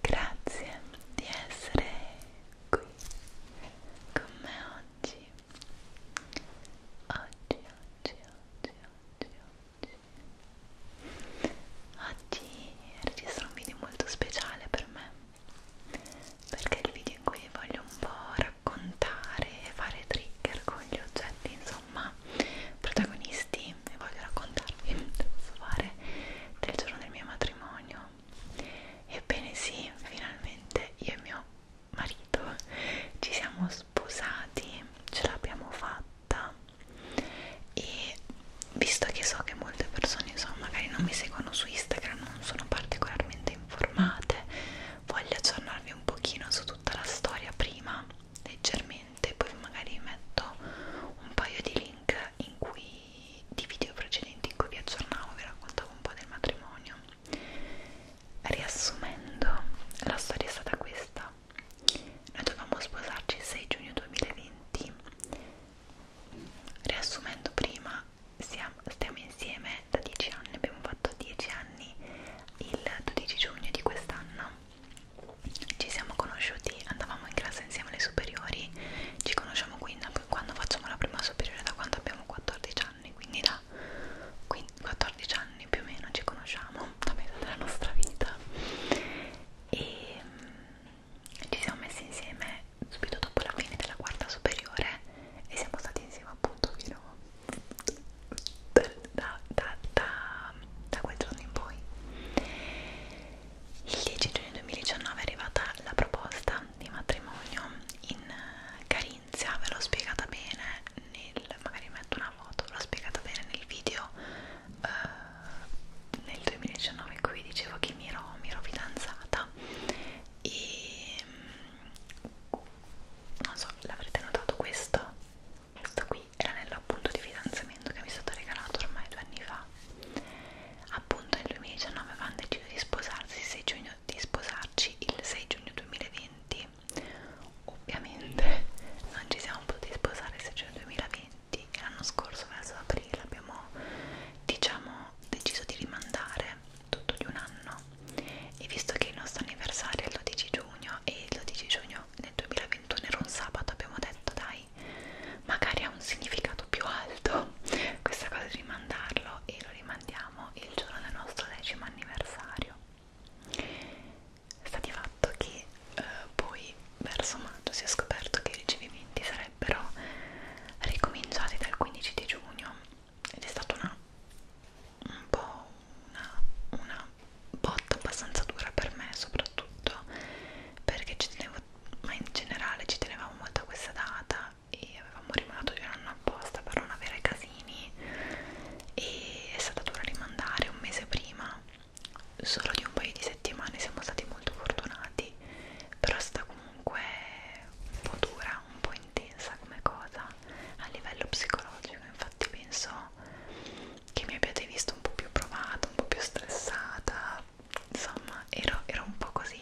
Grazie di essere qui con me oggi. Oggi, oggi, oggi, oggi, oggi. Oggi registro un video molto speciale per me perché è il video in cui voglio un po' raccontare e fare trigger con gli oggetti, insomma protagonisti e voglio raccontarvi, posso fare, del giorno del mio matrimonio. Ebbene sì, finalmente io e mio marito ci siamo sposati, ce l'abbiamo fatta e visto che so che molte persone insomma magari non mi seguono su Instagram, non sono particolarmente informate, voglio aggiornarvi un pochino su tutta la storia prima leggermente precedente poi magari metto un paio di link in cui, di video precedenti in cui vi aggiornavo vi raccontavo un po' del matrimonio riassumendo la storia è stata questa noi dovevamo sposarci il 6 giugno 2020 riassumendo prima siamo, stiamo insieme da 10 anni abbiamo fatto 10 anni il 12 giugno di quest'anno ci siamo conosciuti, andavamo in classe insieme alle superiori, ci conosciamo quindi da quando facciamo la prima superiore, da quando abbiamo 14 anni, quindi da 14 anni più o meno ci conosciamo, da metà della nostra vita e mm, ci siamo messi insieme subito dopo la fine della quarta superiore e siamo stati insieme appunto fino da, da, da, da, da quel giorno in poi il 10 giugno 2019 è arrivata la proposta di matrimonio in eh, Carinzia, ve l'ho spiegata bene nel, magari metto una foto, l'ho spiegata bene nel video eh, nel 2019 in cui dicevo che mi ero, mi ero fidanzata e mm, non so, l'avrete notato questo questo qui è l'anello appunto di fidanzamento che mi è stato regalato ormai due anni fa appunto nel 2019 avevano deciso di sposarsi 6 giugno, di sposarci il 6 giugno 2020 ovviamente non ci siamo potuti sposare il 6 giugno 2020 e l'anno scorso verso aprile abbiamo diciamo deciso di rimandare tutto di un anno e visto che il nostro anniversario è il 12 giugno e il 12 giugno nel 2021 era un sabato abbiamo detto dai poi magari ha un significato più alto questa cosa di rimandarlo e lo rimandiamo il giorno del nostro decimo anniversario sta di fatto che eh, poi verso maggio si è scoperto che i ricevimenti sarebbero ricominciati dal 15 di giugno ed è stata una un po' una, una una botta abbastanza dura per me soprattutto perché ci tenevo, ma in generale ci tenevamo molto a questa data e avevamo rimandato di un anno apposta per non avere casini e è stata dura rimandare un mese prima solo di un paio di settimane siamo stati molto fortunati però è stata comunque un po' dura, un po' intensa come cosa a livello psicologico infatti penso che mi abbiate visto un po' più provata, un po' più stressata, insomma ero, ero un po' così,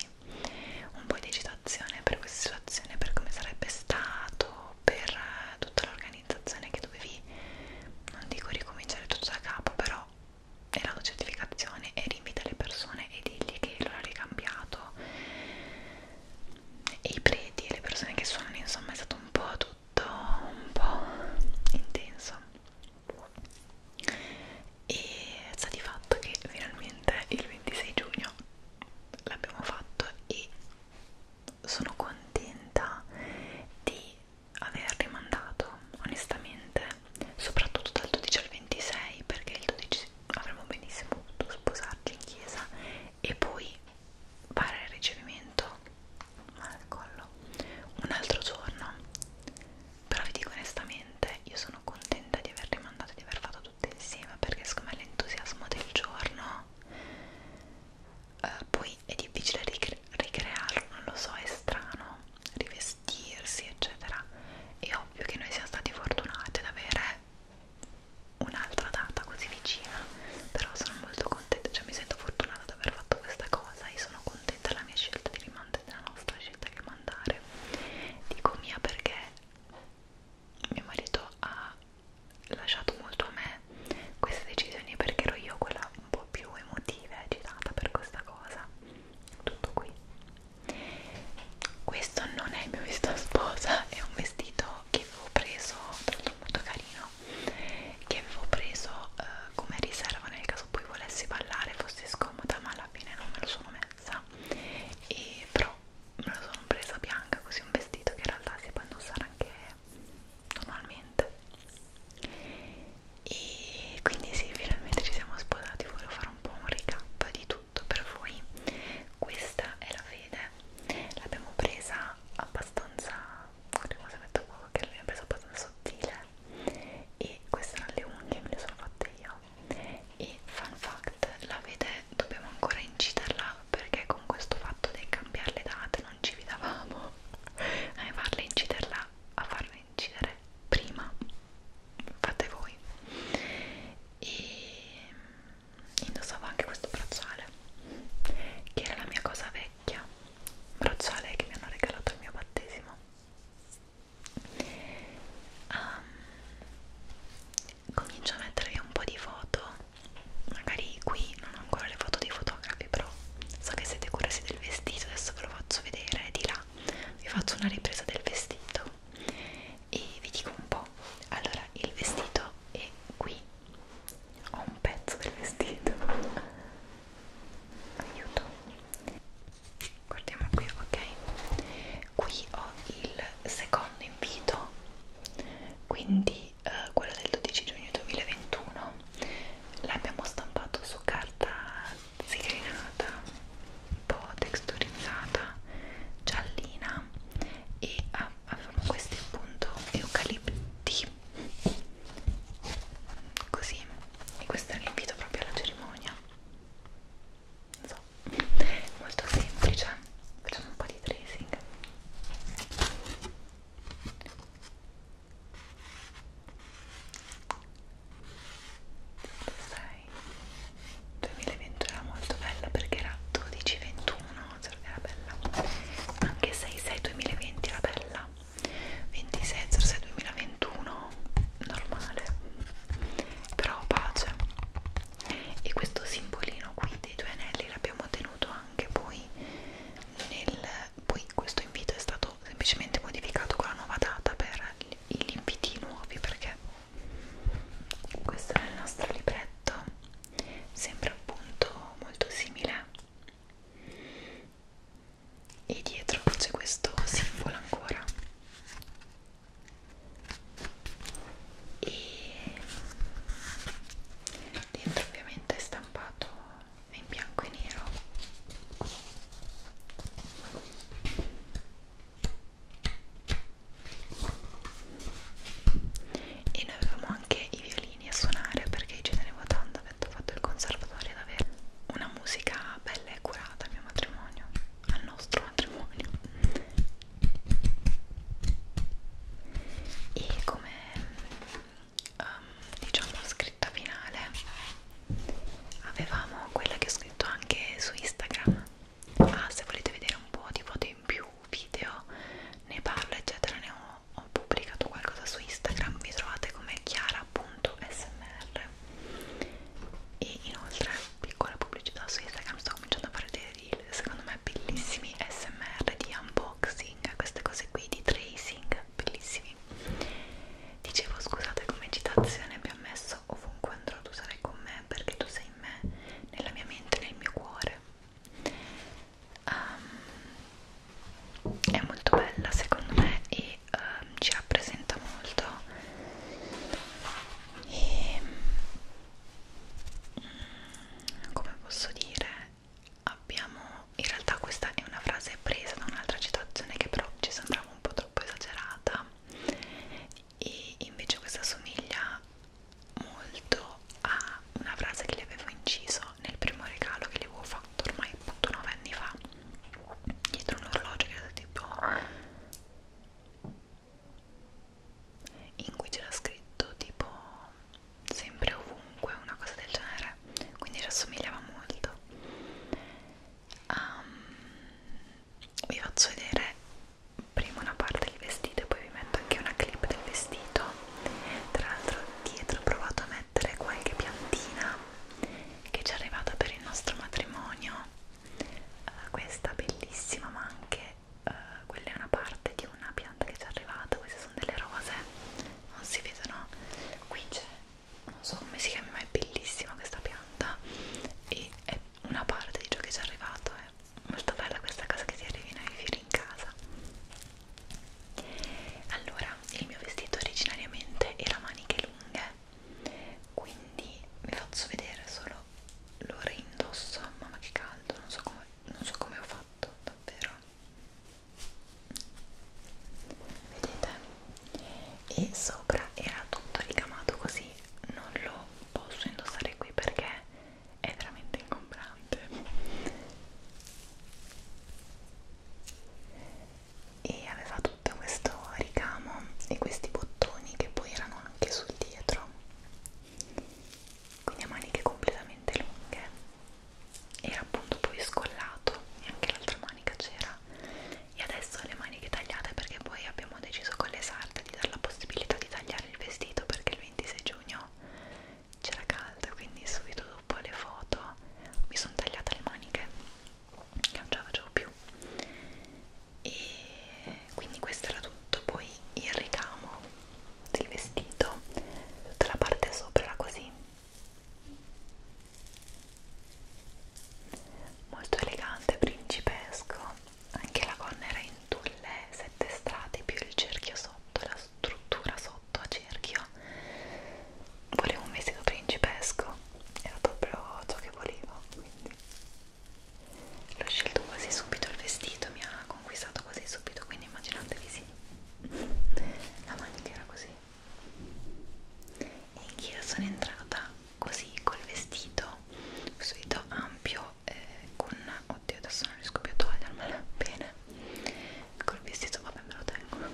un po' di agitazione per questa situazione, per come sarebbe stato, per eh, tutta l'organizzazione che dovevi, non dico ricominciare tutto da capo, però era la certificazione e rinvita le persone e digli che l'orario è cambiato e i preti e le persone che suonano, insomma è stato un po' tutto tutto un po' intenso e sta di fatto che finalmente il 26 giugno l'abbiamo fatto e sono contenta di aver rimandato onestamente soprattutto dal 12 al 26 perché il 12 avremmo benissimo potuto sposarci in chiesa e poi fare il ricevimento male al collo un altro giorno però vi dico onestamente io sono contenta di aver rimandato di aver fatto tutto insieme perché secondo me l'entusiasmo del giorno eh, poi è difficile ricre ricrearlo non lo so è strano rivestirsi eccetera è ovvio che noi siamo stati fortunati ad avere un'altra data così vicina però sono molto contenta cioè mi sento fortunata di aver fatto questa cosa e sono contenta contenta della mia scelta di rimandare, della nostra scelta di rimandare. Dico mia perché mio marito ha lasciato molto a me queste decisioni perché ero io quella un po' più emotiva e agitata per questa cosa. Tutto qui. Questo non è il mio vestito sposa, è un vestito che avevo preso molto carino che avevo preso eh, come riserva nel caso poi volessi ballare fossi scomoda ma alla fine non me lo sono messa e però me lo sono presa bianca così un vestito che in realtà si può indossare anche normalmente e quindi sì finalmente ci siamo sposati volevo fare un po' un recap di tutto per voi questa è la fede l'abbiamo presa abbastanza un rimbosamento poco che lui ha preso abbastanza sottile e queste erano le unghie, me le sono fatte io e fun fact, la vede dobbiamo ancora inciderla perché con questo fatto di cambiare le date non ci vidavamo a farla inciderla, a farla incidere prima fate voi e mm, indossavo anche questo bracciale che era la mia cosa vecchia bracciale che mi hanno regalato al mio battesimo um, comincio a mettervi un po' di foto magari qui non ho ancora le foto dei fotografi però so che siete curiosi del vestito adesso ve lo faccio vedere di là vi faccio una ripresa del vestito e vi dico un po' allora il vestito è qui ho un pezzo del vestito aiuto guardiamo qui ok qui ho il secondo invito quindi eh, quello del 12 giugno 2021 l'abbiamo stampato su carta siglinata un po' texturizzata giallina e ah, avevamo ah, questi appunto eucalipti così così e questo era l'invito proprio alla cerimonia non so molto semplice facciamo un po' di tracing sei 2020 era molto bella perché era 12-21 cioè era bella anche 6-6-2020 era bella 26 2021 normale però pace e questo simbolino qui dei due anelli l'abbiamo ottenuto anche poi nel poi questo invito è stato semplicemente modificato con la nuova data per gli inviti nuovi perché questo è il nostro libretto sembra appunto molto simile e dietro c'è questo simbolo ancora e dentro ovviamente è stampato in bianco e nero e noi avevamo anche i violini bambini a suonare perché ci tenevo tanto, avendo fatto il conservatorio ad avere una musica bella e curata al mio matrimonio, al nostro matrimonio. E come um, diciamo scritta finale avevamo quella che ho scritto anche su Instagram. Ah, se volete vedere un po' di foto in più, video, ne parlo, eccetera, ne ho ho pubblicato qualcosa su Instagram, mi trovate come chiara.smr e inoltre piccola pubblicità su Instagram, sto cominciando a fare dei reel, secondo me bellissimi smr di unboxing, queste cose qui di tracing, bellissimi dicevo scusate come citazione vi ho messo ovunque andrò tu sarai con me perché tu sei in me, nella mia mente, nel mio cuore um, è molto bella secondo me e um, ci rappresenta molto e um, come posso dire abbiamo in realtà questa è una frase presa da un'altra citazione che però ci sembrava un po' troppo esagerata e invece questa somiglia molto a una frase che le avevo inciso nel primo regalo che le avevo fatto ormai appunto 9 anni fa dietro un orologio che era tipo in cui c'era scritto tipo sempre ovunque una cosa del genere quindi ci assomigliava molto um, vi faccio vedere prima una parte del vestito e poi vi metto anche una clip del vestito tra l'altro dietro ho provato a mettere qualche piantina che ci è arrivata per il nostro matrimonio uh, questa bellissima ma anche uh, quella è una parte di una pianta che ci è arrivata queste sono delle rose non si vedono qui c'è non so come si chiama ma è bellissima questa pianta e è una parte di ciò che ci è arrivato è molto bella questa cosa che ti arrivino i fiori in casa allora il mio vestito originariamente era maniche lunghe quindi vi faccio vedere solo lo reindosso mamma che caldo non so come, non so come ho fatto davvero vedete e sopra era tutto ricamato così non lo posso indossare qui perché è veramente ingombrante e aveva tutto questo ricamo e questi bottoni che poi erano anche sul dietro quindi a maniche completamente lunghe era appunto poi scollato e anche l'altra manica c'era e adesso le maniche tagliate perché poi abbiamo deciso con le sarde di dare la possibilità di tagliare il vestito perché il 26 giugno c'era caldo quindi subito dopo le foto mi sono tagliata le maniche che non ce la facevo più e quindi questo era tutto poi il ricamo del vestito tutta la parte sopra era così molto elegante principesco anche la gonna era in tulle sette strati più il cerchio sotto la struttura sotto a cerchio volevo un vestito principesco era proprio ciò che volevo quindi l'ho scelto quasi subito il vestito mi ha conquistato quasi subito quindi immaginatevi sì la manica era così e anch'io sono entrata così col vestito questo vestito ampio eh, con oddio adesso non riesco più a togliermela bene col vestito vabbè me lo tengo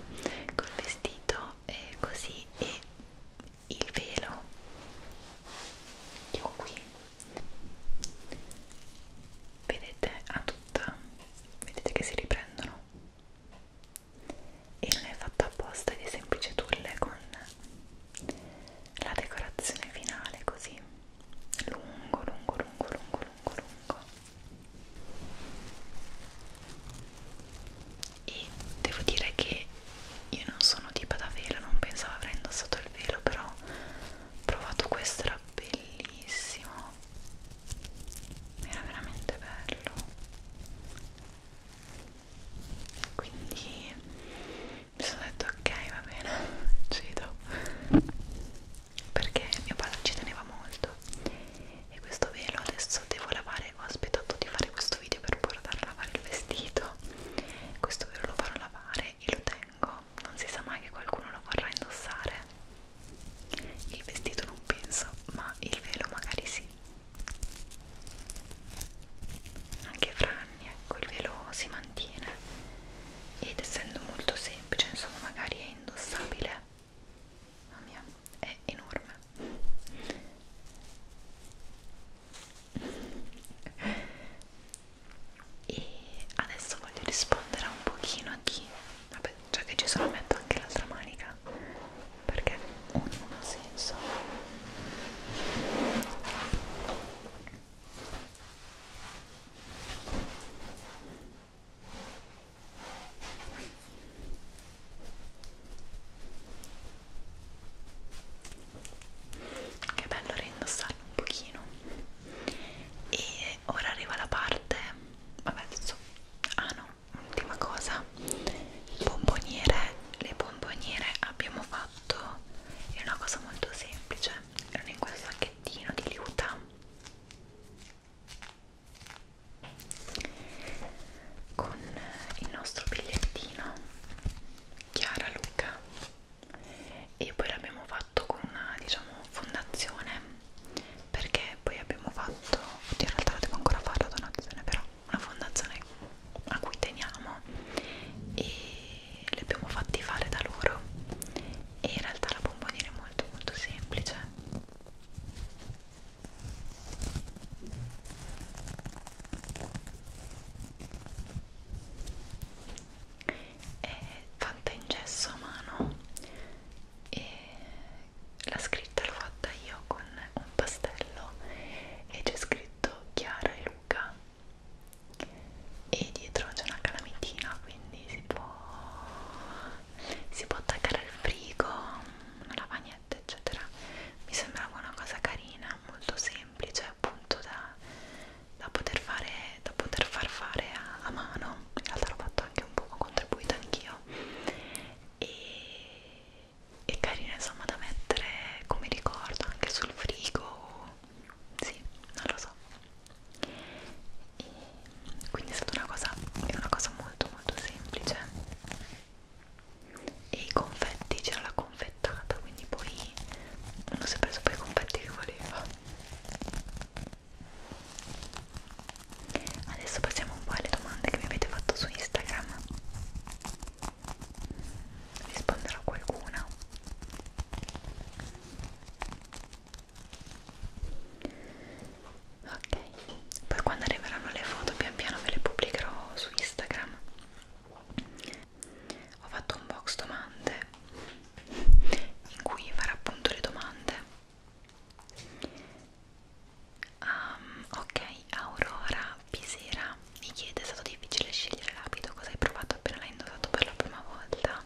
col vestito eh, così e il velo che ho qui vedete a tutta vedete che si riprendono e non è fatta apposta di semplice tulle con la decorazione finale così lungo lungo lungo lungo lungo lungo e devo dire che io non sono tipo da velo, non pensavo avrei indossato il velo, però ho provato questo, era bellissimo, era veramente bello. Quindi mi sono detto ok va bene, cedo perché mio padre ci teneva molto e questo velo adesso devo lavare ho aspettato di fare questo video per portare a lavare il vestito questo velo lo farò lavare e lo tengo non si sa mai che qualcuno lo vorrà indossare il vestito non penso ma il velo magari sì anche Franny ecco il velo si mantiene ed essendo molto semplice insomma magari è indossabile mamma mia è enorme e adesso voglio rispondere un pochino a chi vabbè già che ci sono metto anche l'altra manica perché uno non ha senso che bello reindossarlo un pochino e ora arriva la parte vabbè adesso ah no ultima cosa bomboniere le bomboniere abbiamo fatto è una cosa molto semplice erano in questo sacchettino di liuta con il nostro bigliettino Chiara Luca e poi l'abbiamo fatto con una diciamo fondazione perché poi abbiamo fatto oddio in realtà la devo ancora fare la donazione però una fondazione a cui teniamo e le abbiamo fatti fare da loro e in realtà la bomboniera è molto molto semplice è fatta in gesso a mano e la scritta l'ho fatta io con un pastello e c'è scritto Chiara e Luca e dietro c'è una calamitina quindi si può si può attaccare al frigo, una lavagnetta eccetera mi sembrava una cosa carina, molto semplice appunto da, da, poter, fare, da poter far fare a, a mano in realtà l'ho fatto anche un po', ho contribuito anch'io e, e carina insomma da mettere come ricordo anche sul frigo sì, non lo so e quindi è stata una cosa, è una cosa molto molto semplice e i confetti c'era la confettata quindi poi uno si è preso poi i confetti che voleva adesso passiamo un po' alle domande che mi avete fatto su Instagram risponderò a qualcuna ok poi quando arriveranno le foto pian piano ve le pubblicherò su Instagram ho fatto un box domande in cui farò appunto le domande um, ok Aurora Pisera mi chiede è stato difficile scegliere l'abito cosa hai provato appena l'hai indossato per la prima volta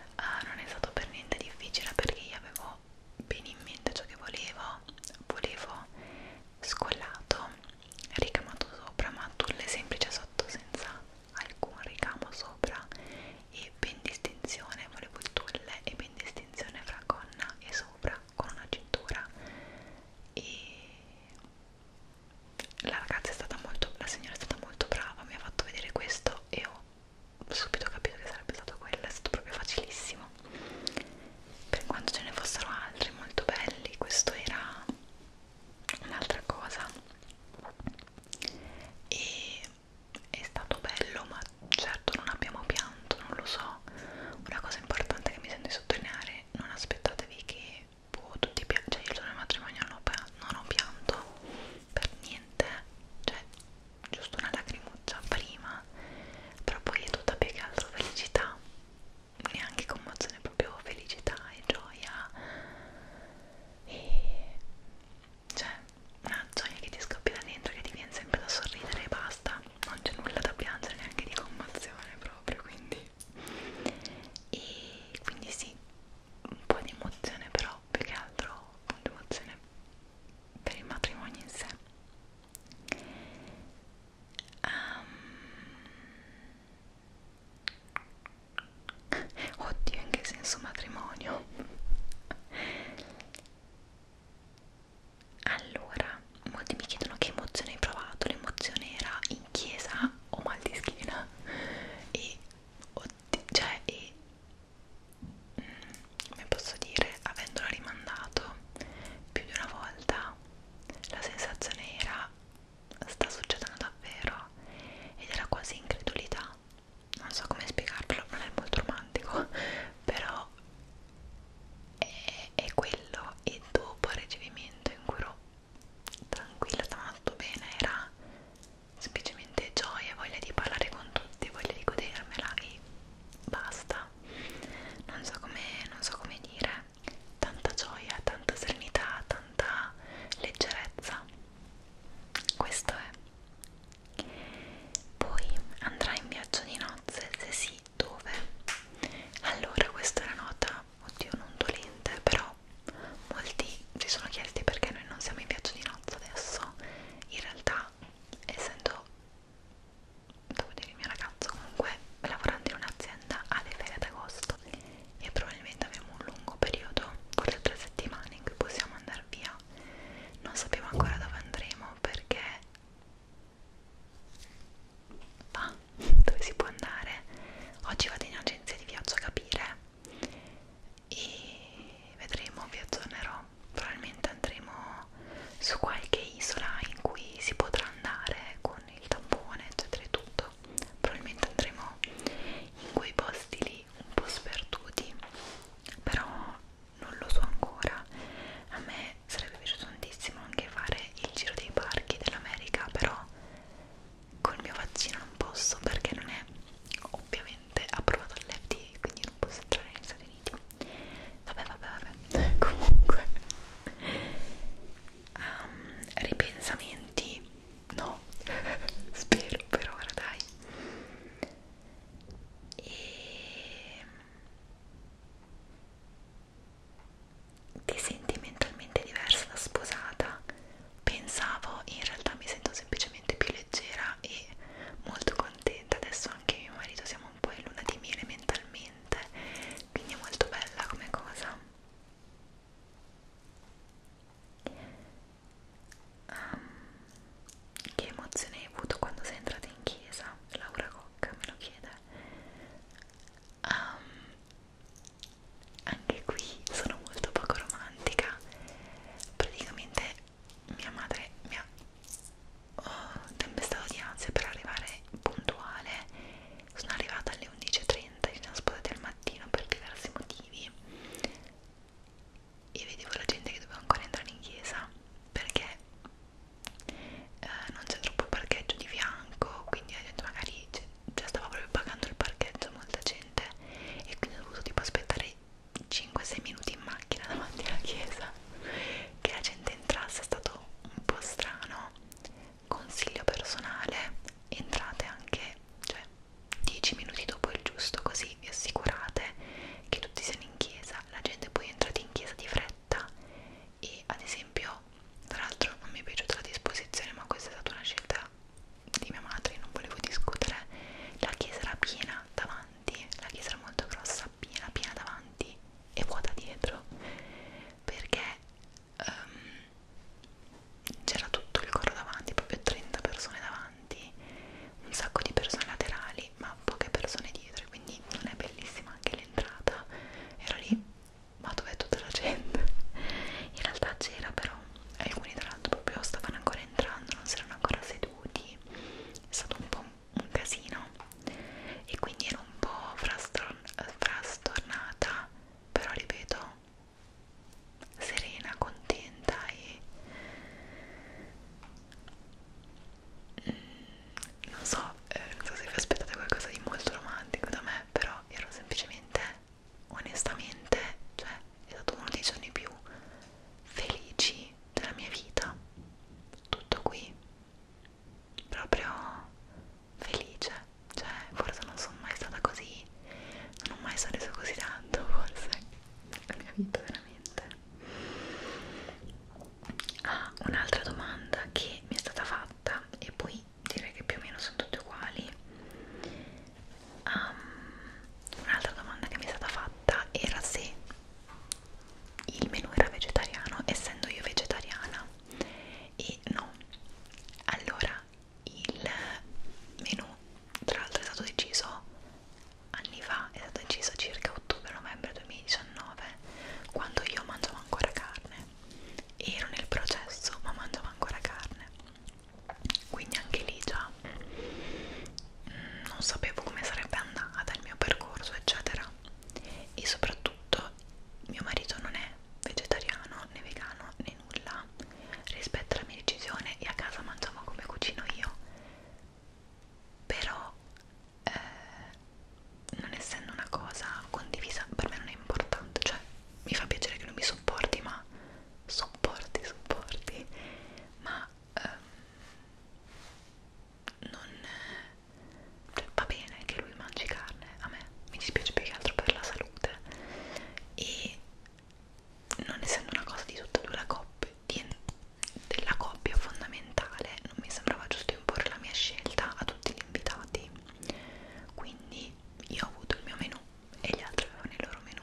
uh, non è stato per niente difficile perché io avevo bene in mente ciò che volevo volevo scollato ricamato sopra ma tulle semplice sotto senza alcun ricamo sopra e ben distinzione volevo il tulle e ben distinzione fra gonna e sopra con una cintura e la ragazza è stata molto la signora è stata molto brava mi ha fatto vedere questo e ho subito capito che sarebbe stato quello, è stato proprio facilissimo. Per quanto ce ne fossero altri molto belli, questo era un'altra cosa. E è stato bello, ma certo non abbiamo pianto, non lo so. Una cosa importante che mi sento di sottolineare, non aspettatevi che boh, tutti piangere, cioè io il giorno del matrimonio non ho, non ho pianto per niente, cioè giusto una lacrimuccia prima, però poi è tutta più che altro felicità, neanche commozione, proprio felicità e gioia e cioè una gioia che ti scoppia da dentro, che ti viene sempre da sorridere e basta, non c'è nulla da piangere, neanche di commozione proprio, quindi e quindi sì, un po' di emozione però più che altro un'emozione per il matrimonio in sé um, oddio in che senso matrimonio allora molti mi chiedono che emozione hai provato l'emozione era in chiesa o mal di schiena e, oddio, cioè, e come posso dire, avendolo rimandato più di una volta, la sensazione era sta succedendo davvero ed era quasi incredulità. Non so come spiegarvelo, non è molto romantico, però è, è quello e dopo il ricevimento in cui ero tranquilla, stava tutto bene, era semplicemente gioia, voglia di parlare con tutti, voglia di godermela e basta. Non so come so com dire, tanta gioia, tanta serenità, tanta leggerezza. Questo è. Poi andrai in viaggio di nozze, se sì, dove? Allora, questa è una nota, oddio, non dolente, però molti si sono chiesti perché noi non siamo in viaggio di nozze maggioranza adesso in realtà essendo devo dire il mio ragazzo comunque lavorando in un'azienda ha le ferie ad agosto e probabilmente avremo un lungo periodo forse tre settimane in cui possiamo andare via non sappiamo ancora dove andremo perché va dove si può andare oggi vado in agenzia di viaggio a capire e vedremo, vi aggiornerò. Probabilmente andremo su qualche isola in cui si potrà andare con il tampone, eccetera e tutto. Probabilmente andremo in quei posti lì un po' sperduti, però non lo so ancora. A me sarebbe piaciuto tantissimo anche fare il giro dei parchi dell'America, però col mio vaccino non posso perché non è ovviamente ovviamente approvato dall'FDA quindi non posso entrare negli Stati Uniti vabbè vabbè vabbè comunque um, ripensamenti no spero per ora dai e ehm, ti senti mentalmente diversa da sposata pensavo in realtà mi sento semplicemente più leggera e molto contenta adesso anche mio marito siamo un po' in luna di miele mentalmente quindi è molto bella come cosa um, che emozione hai avuto quando sei entrata in chiesa? Laura Cocca me lo chiede um, anche qui sono molto poco romantica praticamente mia madre mi ha oh, tempestato di ansia per arrivare puntuale sono arrivata alle 11.30 ci siamo sposati al mattino per diversi motivi e vedevo la gente che doveva ancora entrare in chiesa perché eh, non c'è troppo parcheggio di fianco quindi la gente magari cioè, stava proprio pagando il parcheggio molta gente e quindi ho dovuto tipo aspettare 5-6 minuti in macchina davanti alla chiesa che la gente entrasse è stato un po' strano consiglio personale entrate anche cioè 10 minuti dopo il giusto così vi assicurate che tutti siano in chiesa la gente poi è entrata in chiesa di fretta e ad esempio tra l'altro non mi è piaciuta la disposizione ma questa è stata una scelta di mia madre, non volevo discutere, la chiesa era piena davanti, la chiesa era molto grossa, piena, piena davanti e vuota dietro, perché um, c'era tutto il coro davanti, proprio 30 persone davanti, un sacco di persone laterali, ma poche persone dietro, quindi non è bellissima anche l'entrata, ero lì ma dov'è tutta la gente? In realtà c'era però alcuni tra l'altro proprio stavano ancora entrando, non si erano ancora seduti, è stato un po' un casino e quindi ero un po' frastornata, però ripeto, serena, contenta e mm, non so, eh, non so se vi aspettate qualcosa di molto romantico da me, però ero semplicemente, onestamente, cioè è stato uno dei giorni più felici della mia vita. Tutto qui, proprio felice. Cioè, forse non sono mai stata così, non ho mai sorriso così tanto, forse, la mia vita veramente. Ah, un'altra domanda che mi è stata fatta e poi direi che più o meno sono tutte uguali Um, un'altra domanda che mi è stata fatta era se il menù era vegetariano, essendo io vegetariana. E no, allora il menù tra l'altro è stato deciso anni fa, è stato deciso circa ottobre-novembre 2019, quando io mangiavo ancora carne. Ero nel processo, ma mangiavo ancora carne quindi anche lì già mm, non sapevo come sarebbe andata il mio percorso eccetera e soprattutto mio marito non è vegetariano né vegano né nulla rispetto alla mia decisione e a casa mangiamo come cucino io però eh, non essendo una cosa condivisa per me non è importante cioè mi fa piacere che lui mi sopporti ma sopporti sopporti ma ehm, non cioè, va bene che lui mangi carne, a me mi dispiace più che altro per la salute e non essendo una cosa di tutta e due la coppia, di, della coppia fondamentale non mi sembrava giusto imporre la mia scelta a tutti gli invitati quindi io ho avuto il mio menù e gli altri avevano il loro menù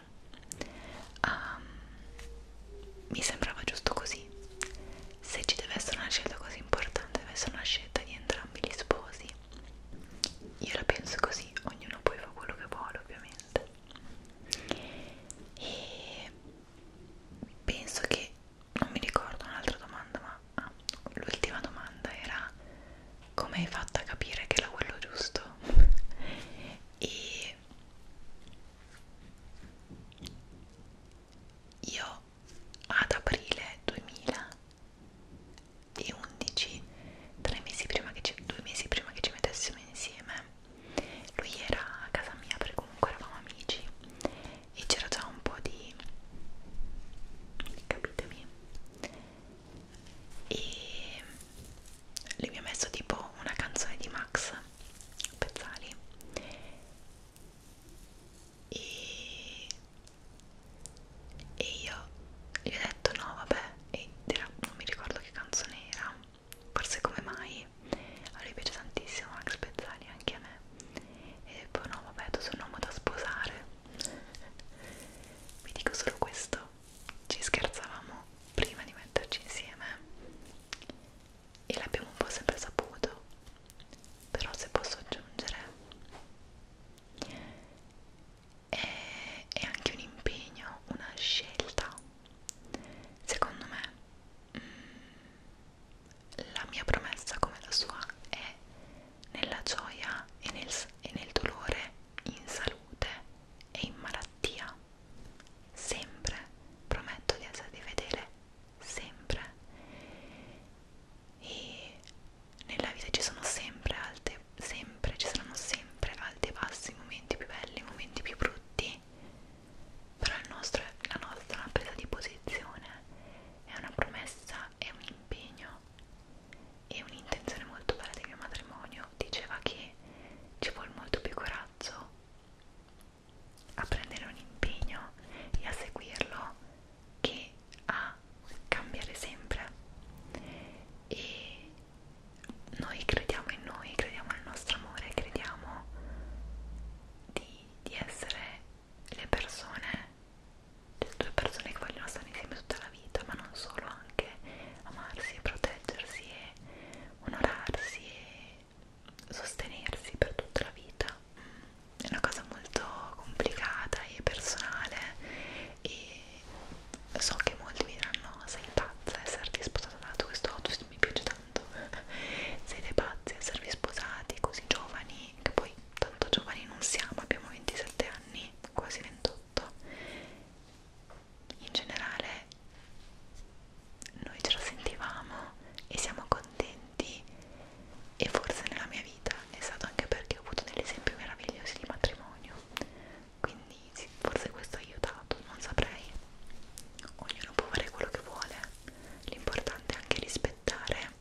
um, mi sembrava giusto così se ci deve essere una scelta così importante deve essere una scelta di entrambi gli sposi io la penso così ognuno poi fa quello che vuole ovviamente e penso che non mi ricordo un'altra domanda ma ah, l'ultima domanda era come hai fatto a capire che era quello giusto e che io ad aprile 2011 tre mesi prima che ci, due mesi prima che ci mettessimo insieme lui era a casa mia perché comunque eravamo amici e c'era già un po' di capitemi e lui mi ha messo tipo una canzone di Max Pezzali e, e io gli ho detto no vabbè e era, non mi ricordo che canzone era forse come mai a lui piace tantissimo Max Pezzali anche a me e poi no vabbè tu sei un uomo da sposare vi dico solo questo ci scherzavamo prima di metterci insieme e l'abbiamo un po' sempre saputo però se posso aggiungere è, è anche un impegno, una scelta secondo me mh, mm, la mia promessa come la sua è nella gioia e nel, e nel dolore in salute e in malattia sempre prometto di, essere, di vedere sempre e nella vita ci sono sempre alte sempre ci saranno sempre alti e bassi momenti più belli momenti più brutti però il nostro, la nostra presa di posizione è una promessa è un impegno e un'intenzione molto bella del mio matrimonio diceva che ci vuole molto più coraggio a prendere un impegno e a seguirlo che a cambiare sempre e noi crediamo in noi, crediamo nel nostro amore, crediamo di, di essere le persone, cioè due persone che vogliono stare insieme tutta la vita, ma non solo, anche amarsi e proteggersi e onorarsi e sostenersi per tutta la vita è una cosa molto complicata e personale e so che molti mi diranno sei pazza esserti eh, sposata dato questo auto mi piace tanto siete pazzi esservi sposati così giovani che poi tanto giovani non siamo abbiamo 27 anni quasi 28 in generale noi ce la sentivamo e siamo contenti e forse nella mia vita è stato anche perché ho avuto degli esempi meravigliosi di matrimonio quindi sì, forse questo ha aiutato, non saprei ognuno può fare quello che vuole l'importante è anche rispettare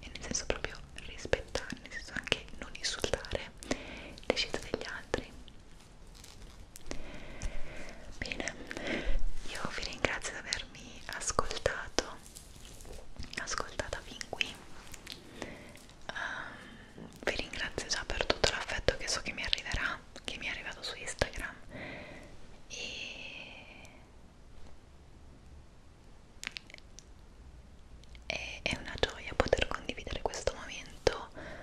e nel senso proprio rispettare, nel senso anche non insultare le scelte degli altri Bene, io vi ringrazio di avermi ascoltato, ascoltata fin qui. Um, vi ringrazio già per tutto l'affetto che so che mi arriverà, che mi è arrivato su Instagram. E è una gioia poter condividere questo momento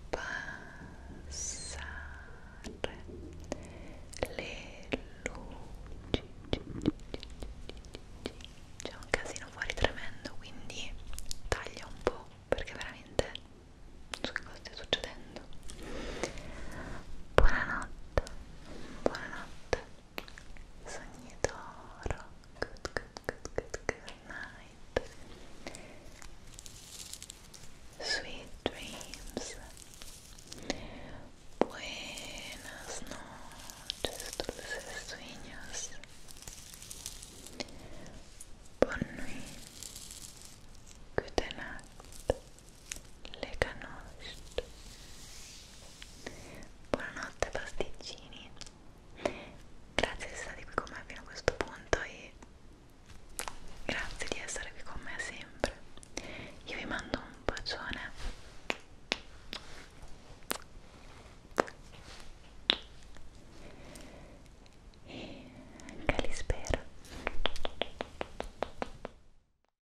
abbassare le luci c'è un casino fuori tremendo quindi taglia un po' perché veramente non so che cosa stia succedendo buonanotte buonanotte Sognitoro. Good, good, good, good night. Sweet dreams. Buenas noches, dulces sueños. Bonne nuit. Good night. Lega Nost Buonanotte pasticcini Grazie di essere qui con me fino a questo punto e grazie di essere qui con me sempre Io vi mando un bacione e anche li spero